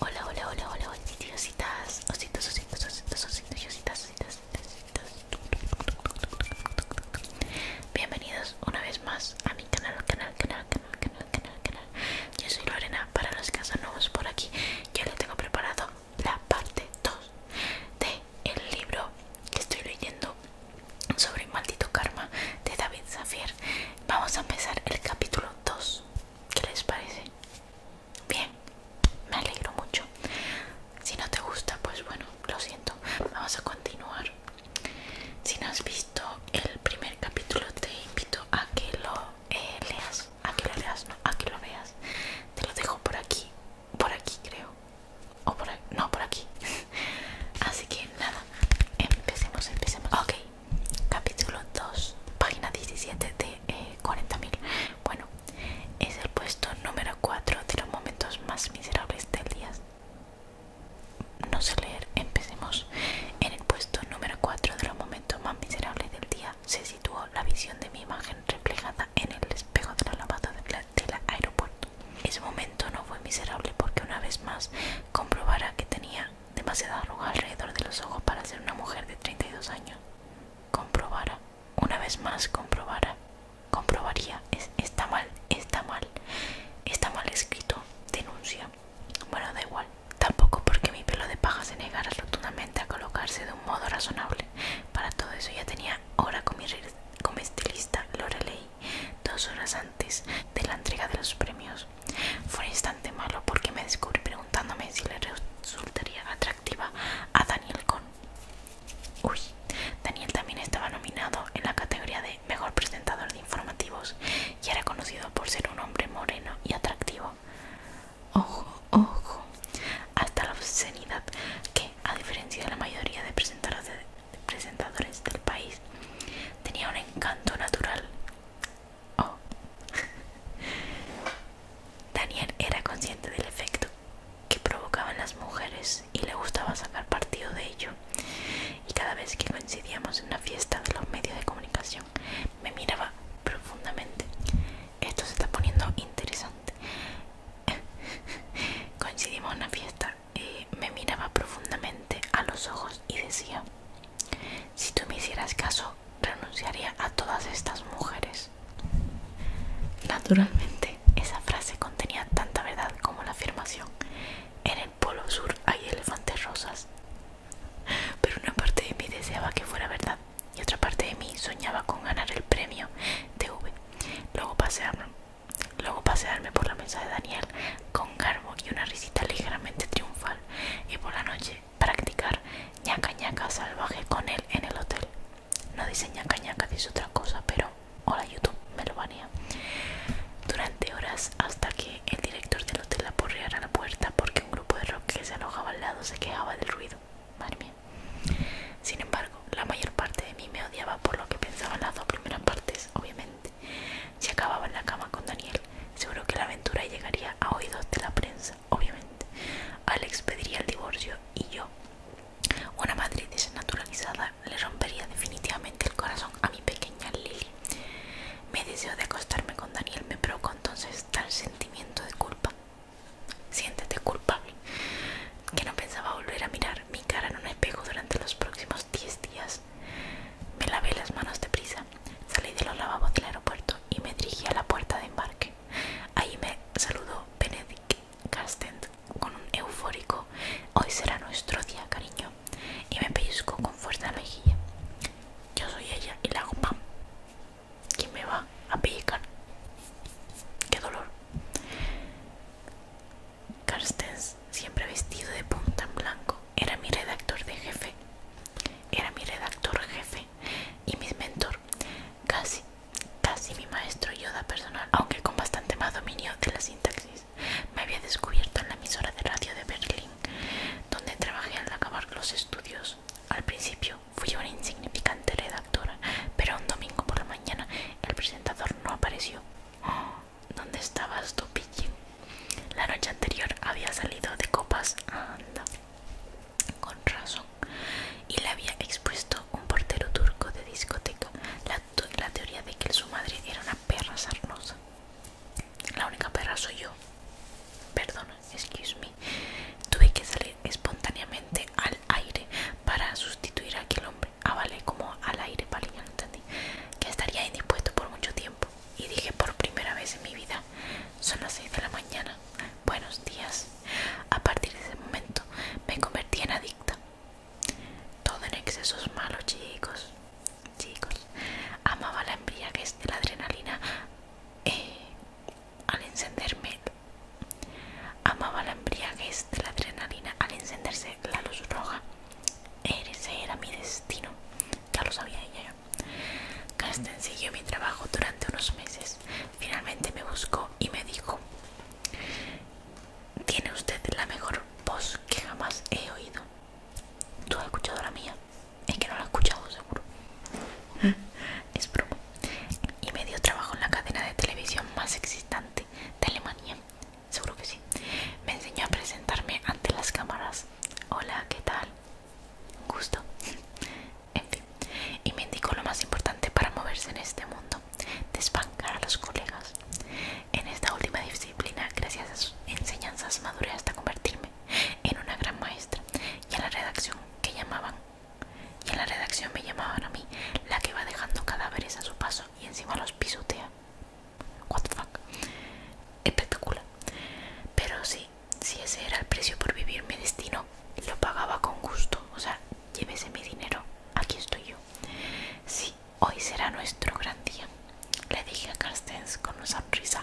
Hola, hola, hola, hola, ositas, ositos, ositos, ositos, ositos, ositos, Bienvenidos una vez más a mi canal, canal, canal, canal, canal, canal, canal. Yo soy Lorena, para los que son nuevos por aquí, Ya tengo preparado la parte 2 de el libro que estoy leyendo sobre maldito karma de David Zafier. Vamos a empezar el capítulo 2. ¿Qué les parece? Bien, me alegro mucho. Si no te gusta, pues bueno, lo siento. Vamos a continuar. Si no has visto el primer capítulo, te invito a que lo eh, leas. A que lo leas, a que lo veas. Te lo dejo por aquí. Por aquí, creo. O No, por aquí. Así que nada, empecemos, empecemos. Ok, capítulo 2, página 17 de 40.000. Eh, bueno, es el puesto número 4 de los momentos más miserables del día. No sé leer, empecemos. En el puesto número 4 de los momentos más miserables del día se situó la visión de mi imagen reflejada en el espejo de la lavadora del aeropuerto. Ese momento no fue miserable porque una vez más comprobara que tenía demasiada arruga alrededor de los ojos para ser una mujer de 32 años. Comprobara, una vez más comprobara, comprobaría, está mal, está mal, está mal escrito, denuncia. Bueno, da igual, tampoco porque mi pelo de paja se negara rotundamente a colocarse de un modo razonable. Para todo eso ya tenía hora con mi, con mi estilista Lorelei dos horas antes de la entrega de los premios. Fue un instante malo porque me descubrí preguntándome si le resultaría atractiva a Daniel Con Uy, Daniel también estaba nominado en la categoría de Mejor Presentador de Informativos y era conocido por ser un hombre moreno y atractivo. Ojo, ojo, hasta la obscenidad que, a diferencia de la mayoría de presentadores de presentadores del país, tenía un encanto natural. Oh. Daniel era consciente del efecto que provocaban las mujeres y le gustaba sacar partido de ello. Y cada vez que coincidíamos en una fiesta de los medios de comunicación, me miraba profundamente. Esto se está poniendo interesante. Coincidimos en una fiesta me miraba profundamente a los ojos y decía, si tú me hicieras caso, renunciaría a todas estas mujeres. Naturalmente, esa frase contenía tanta verdad como la afirmación, en el Polo Sur hay elefantes rosas. Pero una parte de mí deseaba que fuera verdad y otra parte de mí soñaba con ganar el premio TV. Luego pasé a Luego pasearme por la mesa de Daniel con garbo y una risita ligeramente triunfal y por la noche practicar ñaca ñaca salvaje con él en el hotel. No dice ñaca ñaca, dice otra cosa, pero hola YouTube, me lo banea. Durante horas hasta que el director del hotel a la puerta porque un grupo de rock que se alojaba al lado se quejaba del ruido. Madre mía. Sin embargo, la mayor parte de mí me odiaba por lo que pensaba al las dos primeras partes, obviamente. Si acababa en la cama con Daniel, seguro que la aventura llegaría a oídos de la prensa, obviamente. Alex pediría el divorcio y yo, una madre desnaturalizada, le rompería definitivamente el corazón a mi pequeña Lily. Mi deseo de acostarme con Daniel me provocó entonces tal sentimiento de culpa. Siéntete culpable, que no pensaba volver a mirar mi cara no me pegó durante los próximos 10 días. Me lavé las manos de prisa, salí de los lavabos del aeropuerto y me dirigí a la puerta de embarque. Ahí me saludó Benedict Carsten con un eufórico Hoy será nuestro día, cariño. Y me pellizcó con fuerza la mejilla. Yo soy ella y la hago ¿Quién me va a pellizcar? ¡Qué dolor! Carstens, siempre vestido de punta en blanco, era mi redactor de jefe. Era mi redactor jefe y mi mentor, casi, casi mi maestro yoda personal, aunque con bastante más dominio de la sintaxis. Me había descubierto en la emisora de radio de Berlín, donde trabajé al acabar los estudios. Al principio fui una insignificante redactora, pero un domingo por la mañana el presentador no apareció. ¿Dónde estabas tú, La noche anterior había salido de copas Anda Con razón Y le había expuesto un portero turco de discoteca La, la teoría de que su madre era una perra sarnosa La única perra soy yo Perdón, excuse me Tuve que salir espontáneamente al aire para sustituir a aquel hombre. Ah, vale, como al aire, vale, no entendí. Que estaría indispuesto por mucho tiempo. Y dije por primera vez en mi vida, son las 6 de la mañana. Buenos días. A partir de ese momento me convertí en adicta. Todo en excesos malos chicos. Chicos, amaba la embriaguez de la adrenalina eh, al encenderme. Amaba la embriaguez de la adrenalina al encenderse la luz roja. Ese era mi destino, ya lo sabía ella. Carsten siguió mi trabajo durante unos meses. Finalmente me buscó y me dijo: Tiene usted la mejor voz que jamás he oído. ¿Tú has escuchado la mía? Es que no la he escuchado, seguro. es broma. Y me dio trabajo en la cadena de televisión más existente de Alemania, seguro que sí. Me enseñó a presentarme ante las cámaras. Hola, ¿qué tal? Gusto. en fin. Y me indicó lo más importante para moverse en este mundo. Desbancar a los colegas. En esta última disciplina, gracias a sus enseñanzas, maduré hasta convertirme en una gran maestra. Y a la redacción que llamaban y en la redacción me llamaban a mí, la que va dejando cadáveres a su paso y encima los pisotea. What fuck. Espectacular. Pero sí, si ese era el precio por vivir mi destino, lo pagaba con gusto. O sea, llévese mi dinero. Aquí estoy yo. Sí, hoy será nuestro gran día. Le dije a Carsten con una sonrisa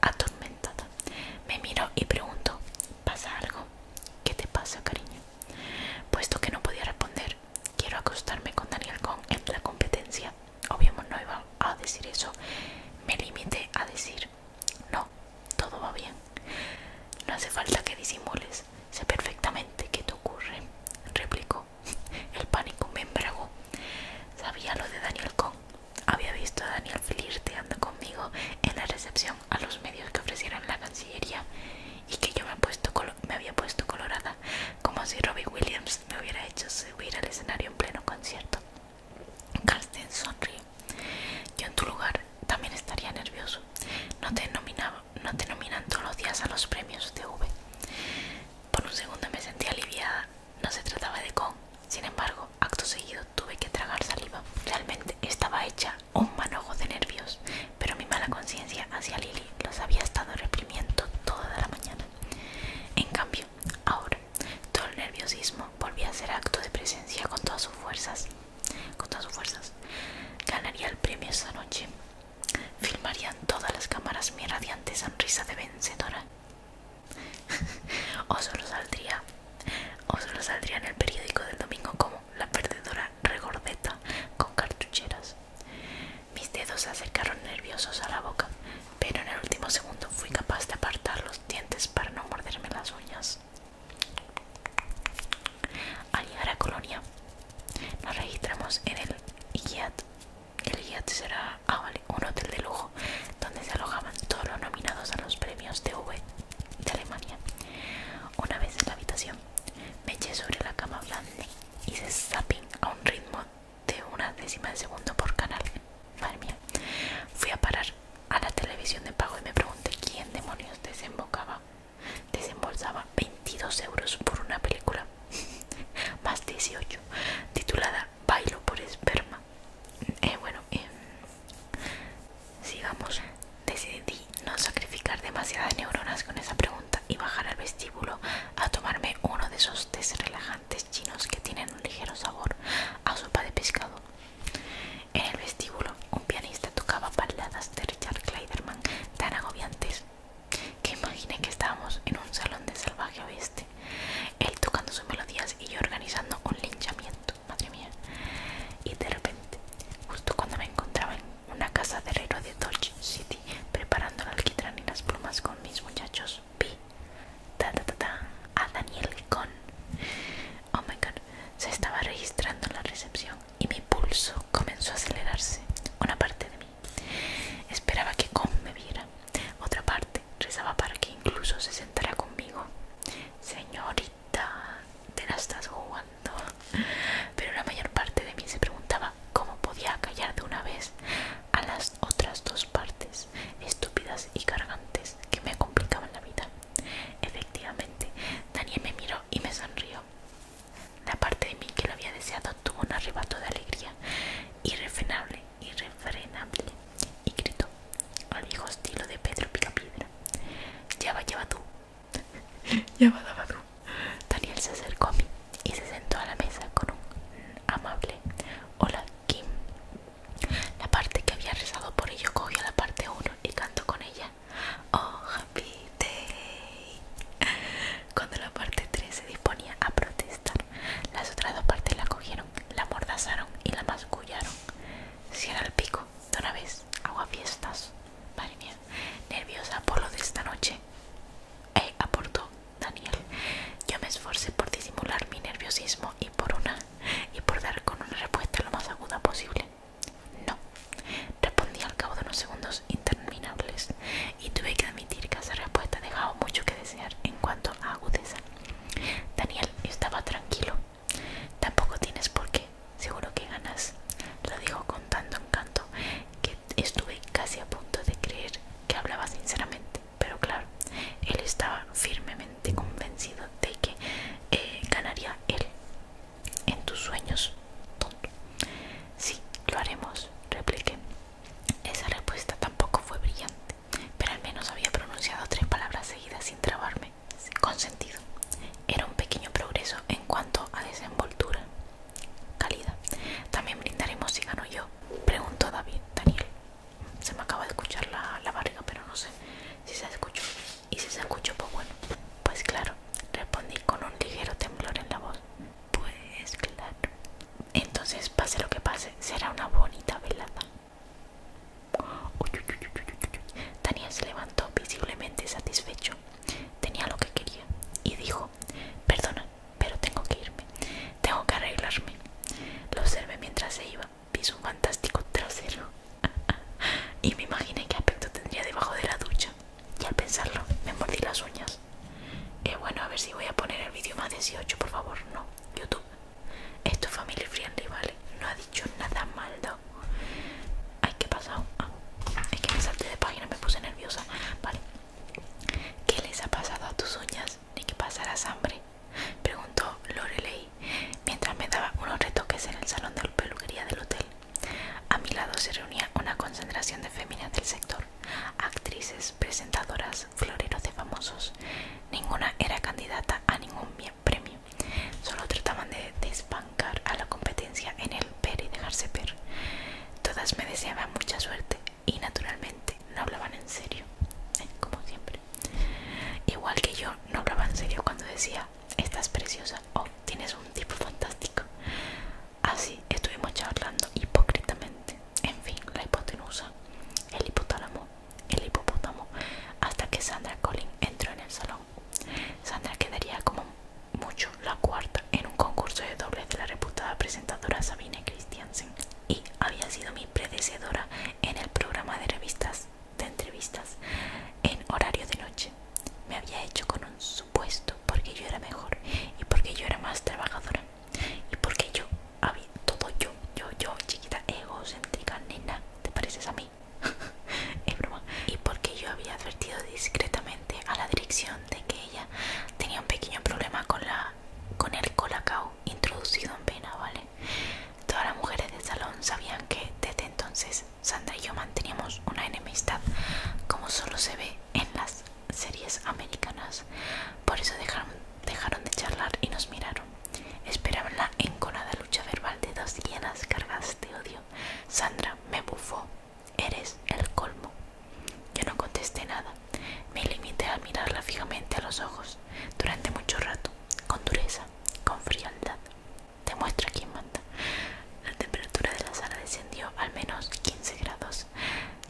atormentada. Me miró y pregunto, ¿pasa algo? ¿Qué te pasa, cariño? Puesto que no podía responder, quiero acostarme con Daniel Kong en la competencia. Obviamente no iba a decir eso. Me limité a decir, no, todo va bien. No hace falta que disimules. Sé perfectamente qué te ocurre, replicó. El pánico me embragó. Sabía lo de Daniel Kong, Había visto a Daniel flirteando conmigo en la recepción a los medios que ofrecieron la Cancillería y que yo me, he puesto me había puesto colorada, como si Robbie Williams me hubiera hecho subir al escenario en pleno concierto. Carsten sonrió Yo en tu lugar también estaría nervioso. No te, no te nominan todos los días a los premios de V. Por un segundo me sentí aliviada. No se trataba de con. Sin embargo, acto seguido tuve que tragar saliva. Realmente estaba hecha un manojo de nervios, pero mi mala conciencia hacia Lily los había estado reprimiendo toda la mañana. En cambio, ahora, todo el nerviosismo volvía a ser acto de presencia con todas sus fuerzas. Con todas sus fuerzas. Ganaría el premio esta noche. Filmarían todas las cámaras mi radiante sonrisa de vencedora. o solo saldría o solo saldría en el periódico del domingo como la perdedora regordeta con cartucheras. Mis dedos se acercaron nerviosos a la boca, pero en el último segundo fui capaz de apartar los dientes para no morderme las uñas. Al llegar a Colonia, nos registramos en el Hyatt El Hyatt será ah, un hotel de lujo donde se alojaban todos los nominados a los premios TV de Alemania. Una vez en la habitación, me eché sobre la cama blanda y se zapping a un ritmo de una décima de segundo por canal. Madre mía. Fui a parar a la televisión de pago y me pregunté quién demonios desembocaba. Desembolsaba 22 euros por una película, más 18, titulada Bailo por esperma. Eh, bueno, eh, Sigamos. Decidí no sacrificar demasiadas neuronas con esa pregunta y bajar al vestíbulo a tomarme uno de esos tés relajantes chinos que tienen un ligero sabor a sopa de pescado. En el vestíbulo, un pianista tocaba baladas de Richard Clayderman tan agobiantes que imaginé que estábamos en un salón de salvaje oeste, él tocando sus melodías y yo organizando un linchamiento madre mía. Y de repente, justo cuando me encontraba en una casa de herrero de Dodge City, preparando el alquitrán y las plumas con mis muchachos, vi a Daniel Con. Oh se estaba registrando la recepción y mi pulso comenzó a acelerarse. Una parte de mí esperaba que Con me viera, otra parte rezaba para que incluso se sentara conmigo. Señorita te la estás jugando. Pero la mayor parte de mí se preguntaba cómo podía callar de una vez a las otras dos partes estúpidas y cargantes que me complicaban la vida. Efectivamente, Daniel me miró y me sonrió. La parte de mí que lo había deseado tuvo un arrebato de alegría, irrefrenable, irrefrenable, y gritó al viejo estilo de Pedro Picapiedra. Lleva, lleva tú, Daniel se acercó a mí y se sentó a la mesa con un amable Hola, Kim. La parte que había rezado por ello cogió la parte 1 y cantó con ella. Oh, happy day. Cuando la parte 3 se disponía a protestar, las otras dos partes la cogieron, la mordazaron y la mascullaron. Si el pico, de una vez, agua fiestas. Madre mía, nerviosa por lo de esta noche. Eh, aportó Daniel. Yo me esforcé por disimular mi nerviosismo y por una y por dar con una respuesta lo más aguda posible. No, respondí al cabo de unos segundos interminables y tuve que admitir que esa respuesta dejaba mucho que desear en cuanto a agudeza. Daniel estaba tranquilo Tampoco tienes por qué, seguro que ganas. Lo dijo con tanto encanto que estuve casi a punto de creer que hablaba sinceramente. Pero claro, él estaba firmemente convencido de que eh, ganaría él. En tus sueños, tonto. Sí, lo haremos, repliqué. Esa respuesta tampoco fue brillante, pero al menos había pronunciado tres palabras seguidas sin trabarme consentido. Era un pequeño progreso en cuanto a desenvoltura. Calidad. También brindaremos si gano yo. Preguntó David, Daniel. Se me acaba de escuchar la, la barriga, pero no sé si se escuchó. Y si se escuchó, pues bueno. Pues claro, respondí con un ligero temblor en la voz. Pues claro. Entonces, pase lo que pase, será una bonita velada se levantó visiblemente satisfecho. Tenía lo que quería y dijo, perdona, pero tengo que irme, tengo que arreglarme. Lo observé mientras se iba, vi un fantástico trasero y me imaginé qué aspecto tendría debajo de la ducha. Y al pensarlo, me mordí las uñas. Eh, bueno, a ver si voy a poner el vídeo más 18, por favor, no, YouTube. Esto es family friendly, ¿vale? No ha dicho nada malo. Ay, ¿qué pasado? Ah, es que me salté de página, me puse nerviosa. Vale. ¿Qué les ha pasado a tus uñas? Ni que pasarás hambre. Preguntó Lorelei mientras me daba unos retoques en el salón de peluquería del hotel. A mi lado se reunía una concentración de féminas del sector, actrices, presentadoras, floreros de famosos. Ninguna era candidata a ningún premio, Solo trataban de desbancar a la competencia en el per y dejarse ver. Todas me deseaban mucha suerte y naturalmente no hablaban en serio, eh, como siempre. Igual que yo no hablaba en serio cuando decía, estás preciosa o oh, tienes un tipo fantástico. Así estuvimos charlando hipócritamente. En fin, la hipotenusa, el hipotálamo el hipopótamo hasta que Sandra Collin entró en el salón. Sandra quedaría como mucho la cuarta en un concurso de dobles de la reputada presentadora Sabine Christiansen y había sido mi predecedora en el programa de revistas de entrevistas en horario de noche. Me había hecho con un supuesto porque yo era mejor y porque yo era más trabajadora y porque yo había todo yo, yo, yo, chiquita egocéntrica, nena, ¿te pareces a mí? Y porque yo había advertido discretamente a la dirección de que ella tenía un pequeño problema con, la, con el colacao introducido en pena ¿vale? Todas las mujeres del salón sabían que desde entonces Sandra y yo manteníamos una enemistad como solo se ve en las series americanas. Por eso dejaron, dejaron de charlar y nos miraron. Esperaba la enconada lucha verbal de dos llenas cargadas de odio. Sandra me bufó. Eres el colmo. Yo no contesté nada. Me limité a mirarla fijamente a los ojos durante mucho rato, con dureza, con frialdad. Demuestra quién manda. La temperatura de la sala descendió al menos 15 grados.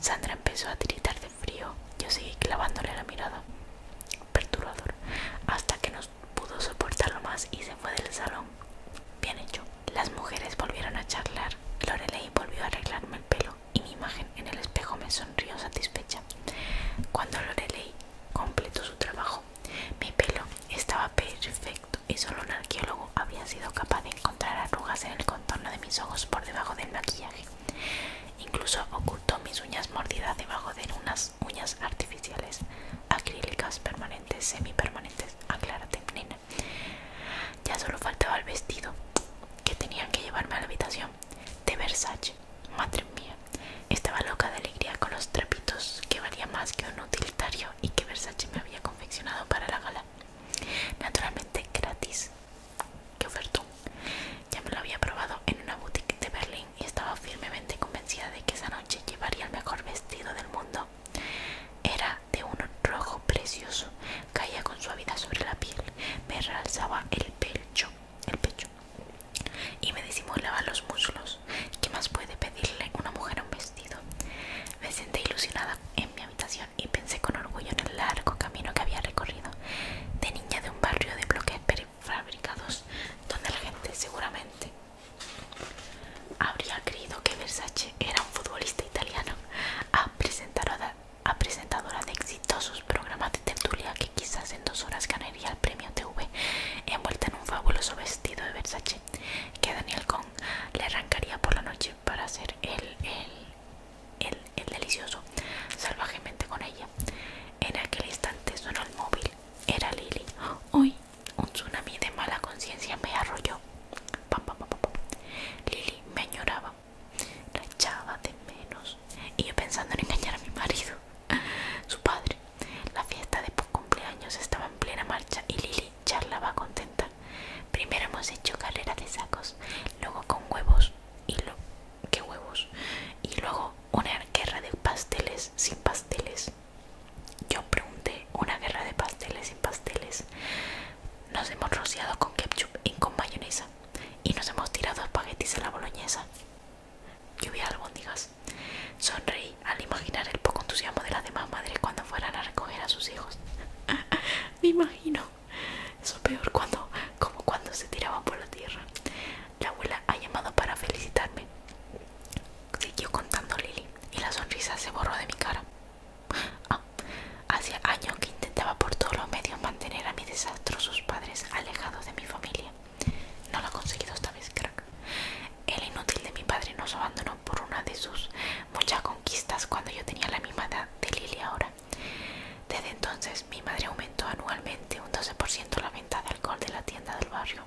Sandra empezó a tiritar de frío. Yo seguí clavándole la mirada perturbador hasta que no pudo soportarlo más y se fue del salón. Bien hecho. Las mujeres volvieron a charlar. Lorelei volvió a arreglarme el pelo y mi imagen en el espejo me sonrió satisfecha. Cuando Lorelei completó su trabajo, mi pelo estaba perfecto y solo un arqueólogo había sido capaz de encontrar arrugas en el contorno de mis ojos por debajo del maquillaje. Incluso ocultó mis uñas mordidas debajo de unas uñas, artificiales, acrílicas, permanentes, semipermanentes. Aclárate, nena. Ya solo faltaba el vestido que tenían que llevarme a la habitación de Versace. Madre mía, estaba loca de alegría con los trapitos que valía más que un utilitario y que Versace me había confeccionado para la gala. Naturalmente gratis que ofertó. Ya me lo había probado en una boutique de Berlín y estaba firmemente convencida de que esa noche llevaría el mejor vestido del mundo. Era de un rojo precioso, caía con suavidad sobre la piel, me realzaba el pecho, el pecho y me disimulaba los muslos. ¿Qué más puede pedirle una mujer a un vestido? Me senté ilusionada en mi habitación y pensé con orgullo en el largo camino que había recorrido. De niña de un barrio de bloques fabricados donde la gente seguramente habría creído que Versace era un futbolista italiano a presentadora, a de exitosos programas de tertulia que quizás en dos horas ganaría el premio TV envuelta en un fabuloso vestido de Versace que Daniel Cohn le arrancaría por la noche para hacer el, el, el el delicioso salvajemente con ella. En aquel instante sonó el móvil. Era Lili Hoy un tsunami de mala conciencia me arrolló. Lili me añoraba, la echaba de menos y yo pensando en engañar a mi marido, su padre. La fiesta de cumpleaños estaba en plena marcha y Lili charlaba contenta. Primero hemos hecho carrera de sacos, luego con huevos y, lo, qué huevos. Y luego una guerra de pasteles sin pasteles. Yo pregunté, una guerra de pasteles sin pasteles. Nos hemos rociado con ketchup y con mayonesa. Y nos hemos tirado espaguetis a la boloñesa. Lluvia de albóndigas. Sonreí al imaginar el poco entusiasmo de las demás madres cuando fueran a recoger a sus hijos. Me imagino eso peor cuando, como cuando se tiraba por la tierra. La abuela ha llamado para felicitarme. Siguió contando Lily y la sonrisa se borró de mi cara. Ah, hacía años que intentaba por todos los medios mantener a mis desastrosos padres alejados de mi familia. No lo ha conseguido esta vez, crack. El inútil de mi padre nos abandonó por una de sus muchas conquistas cuando yo tenía la misma de Lily ahora. Desde entonces mi madre aumentó anualmente un 12% la venta de alcohol de la tienda del barrio.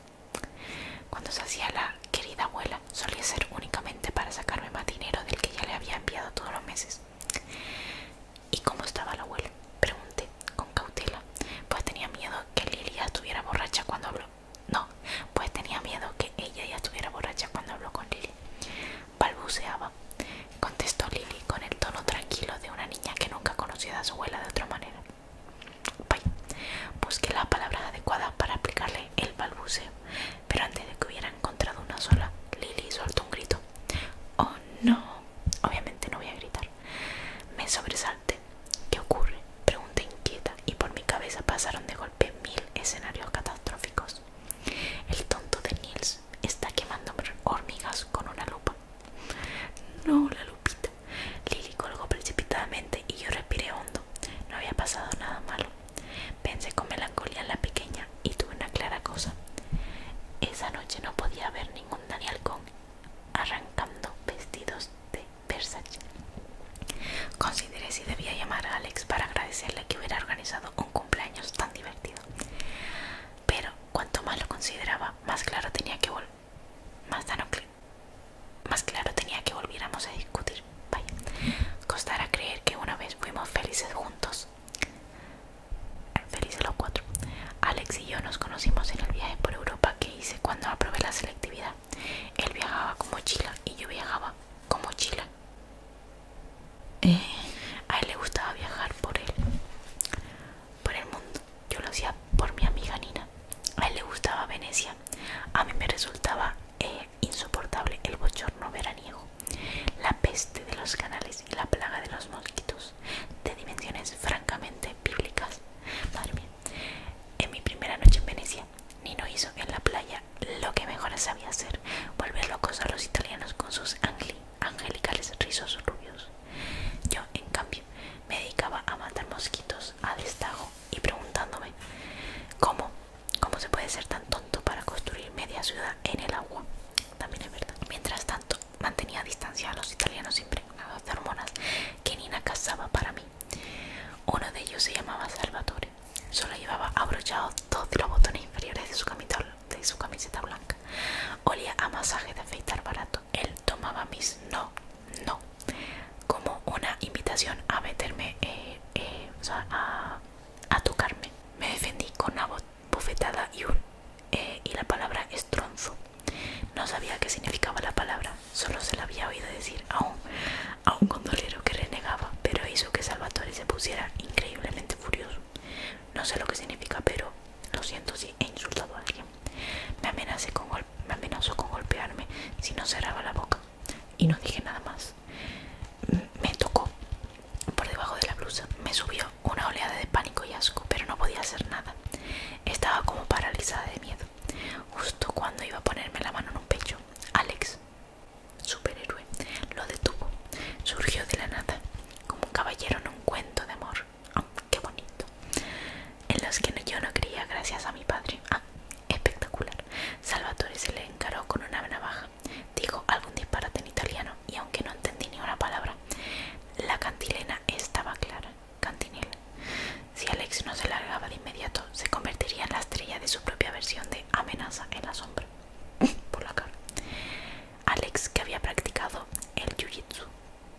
Cuando se hacía la querida abuela solía ser únicamente para sacarme más dinero del que ya le había enviado todos los meses. ¿Y cómo estaba la abuela? Pregunté con cautela, pues tenía miedo que Lilia ya estuviera borracha cuando habló. No, pues tenía miedo que ella ya estuviera borracha cuando habló con Lily balbuceaba, contestó Lily con el tono tranquilo de una niña que nunca conocía a su abuela de otra manera. Vaya, busqué la palabra adecuada para aplicarle el balbuceo, pero antes de que hubiera encontrado una sola, Lily soltó un grito. Oh no, obviamente no voy a gritar. Me sobresalté. ¿Qué ocurre? Pregunté inquieta y por mi cabeza pasaron de golpe mil escenarios catastróficos. El tonto de Nils está quemando hormigas con una lupa. No, la lupita. Lili colgó precipitadamente y yo respiré hondo. No había pasado nada malo. Pensé con melancolía en la pequeña y tuve una clara cosa. Esa noche no podía haber ningún Daniel con arrancando vestidos de Versace. Consideré si debía llamar a Alex para agradecerle que hubiera organizado un cumpleaños tan divertido. Pero Cuanto más lo consideraba, más claro tenía que volver más, más claro tenía que volviéramos a discutir. Vaya, costara creer que una vez fuimos felices juntos. Felices los cuatro. Alex y yo nos conocimos en el viaje por Europa que hice cuando aprobé la selectividad. Él viajaba con mochila y yo viajaba con mochila eh, a él le gustaba viajar por él, por el mundo. Yo lo hacía por mi amiga Nina. A él le gustaba Venecia. A mí me resultaba eh, insoportable el bochorno veraniego, la peste de los canales y la plaga de los mosquitos, de dimensiones francamente bíblicas. Madre mía. En mi primera noche en Venecia, Nino hizo en la playa lo que mejor sabía hacer, volver locos a los italianos con sus angli angelicales rizos rubios. Yo, en cambio, me dedicaba a matar mosquitos a destajo y preguntándome cómo, cómo se puede ser tan tonto para construir media ciudad en el agua. También es verdad. Mientras tanto, mantenía distancia a los italianos impregnados de hormonas que Nina cazaba para mí. Uno de ellos se llamaba Salvatore. Solo llevaba abrochados dos de los botones inferiores de su camisola de su camiseta blanca. Olía a masaje de afeitar barato. Él tomaba mis no, no, como una invitación a meterme, eh, eh, a, tocarme. Me defendí con una bofetada y, un, eh, y la palabra estronzo. No sabía qué significaba la palabra, solo se la había oído decir a un, a un gondolero que renegaba, pero hizo que Salvatore se pusiera increíblemente furioso. No sé lo que significa, pero lo siento si he insultado a alguien. Me, amenazó con golpearme si no cerraba la boca y no dije nada más. Me tocó por debajo de la blusa. Me subió una oleada de pánico y asco, pero no podía hacer nada. Estaba como paralizada de miedo. Justo cuando iba a ponerme la mano en un pecho, Alex superhéroe, lo detuvo. Surgió de la nada, como un caballero en un cuento de amor. Ah, bonito! En los que yo no creía gracias a mi padre. ¡Ah, espectacular! Salvatore se le encaró con una navaja. Dijo algún disparate en italiano y aunque no entendí ni una palabra, la cantilena estaba clara. Cantinela. Si Alex no se largaba de inmediato, se convertiría en la estrella de su propia versión de Amenaza en la Sombra por la cara. Alex, que había practicado el jiu-jitsu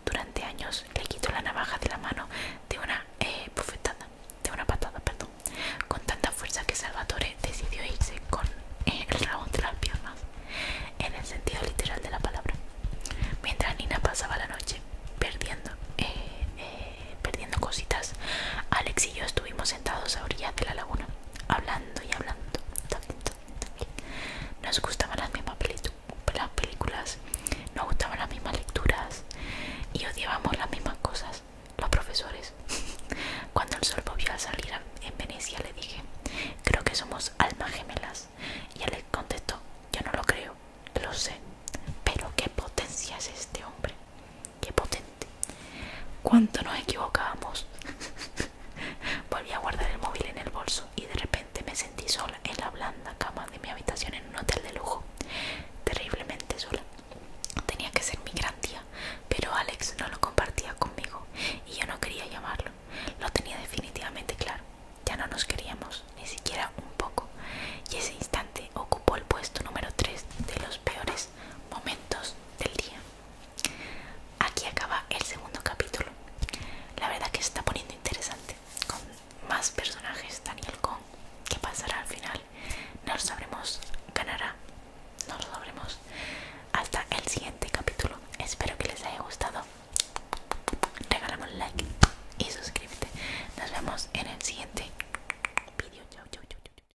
durante años, le quitó la navaja de la mano de una eh, de una patada, perdón, con tanta fuerza que Salvatore decidió irse con eh, el rabón de las piernas, en el sentido literal de la palabra. Mientras Nina pasaba la noche perdiendo, eh, perdiendo cositas, Alex y yo estuvimos sentados a orillas de la laguna hablando y hablando. Nos gustaban las mismas películas, nos gustaban las mismas lecturas y odiábamos las mismas cosas, los profesores. Cuando el sol volvió a salir en Venecia le dije, creo que somos almas gemelas. Y él contestó, yo no lo creo, lo sé, pero qué potencia es este hombre qué potente. Cuánto nos equivocábamos. Volví a guardar el móvil en el bolso y de repente me sentí sola en la blanda cama de mi habitación en un hotel de lujo. Terriblemente sola. Tenía que ser mi gran día, pero Alex no lo compartía conmigo y yo no quería llamarlo. Lo tenía definitivamente claro. Ya no nos queríamos, ni siquiera un poco. Y ese instante ocupó el puesto número 3 de los peores momentos del día. Aquí acaba el segundo capítulo. La verdad que está poniendo interesante. Con más personajes, Daniel Con. ¿Qué pasará al final? No lo sabremos. Ganará. No lo sabremos. Hasta el siguiente capítulo. Espero que les haya gustado. Regálame un like y suscríbete. Nos vemos en el siguiente vídeo.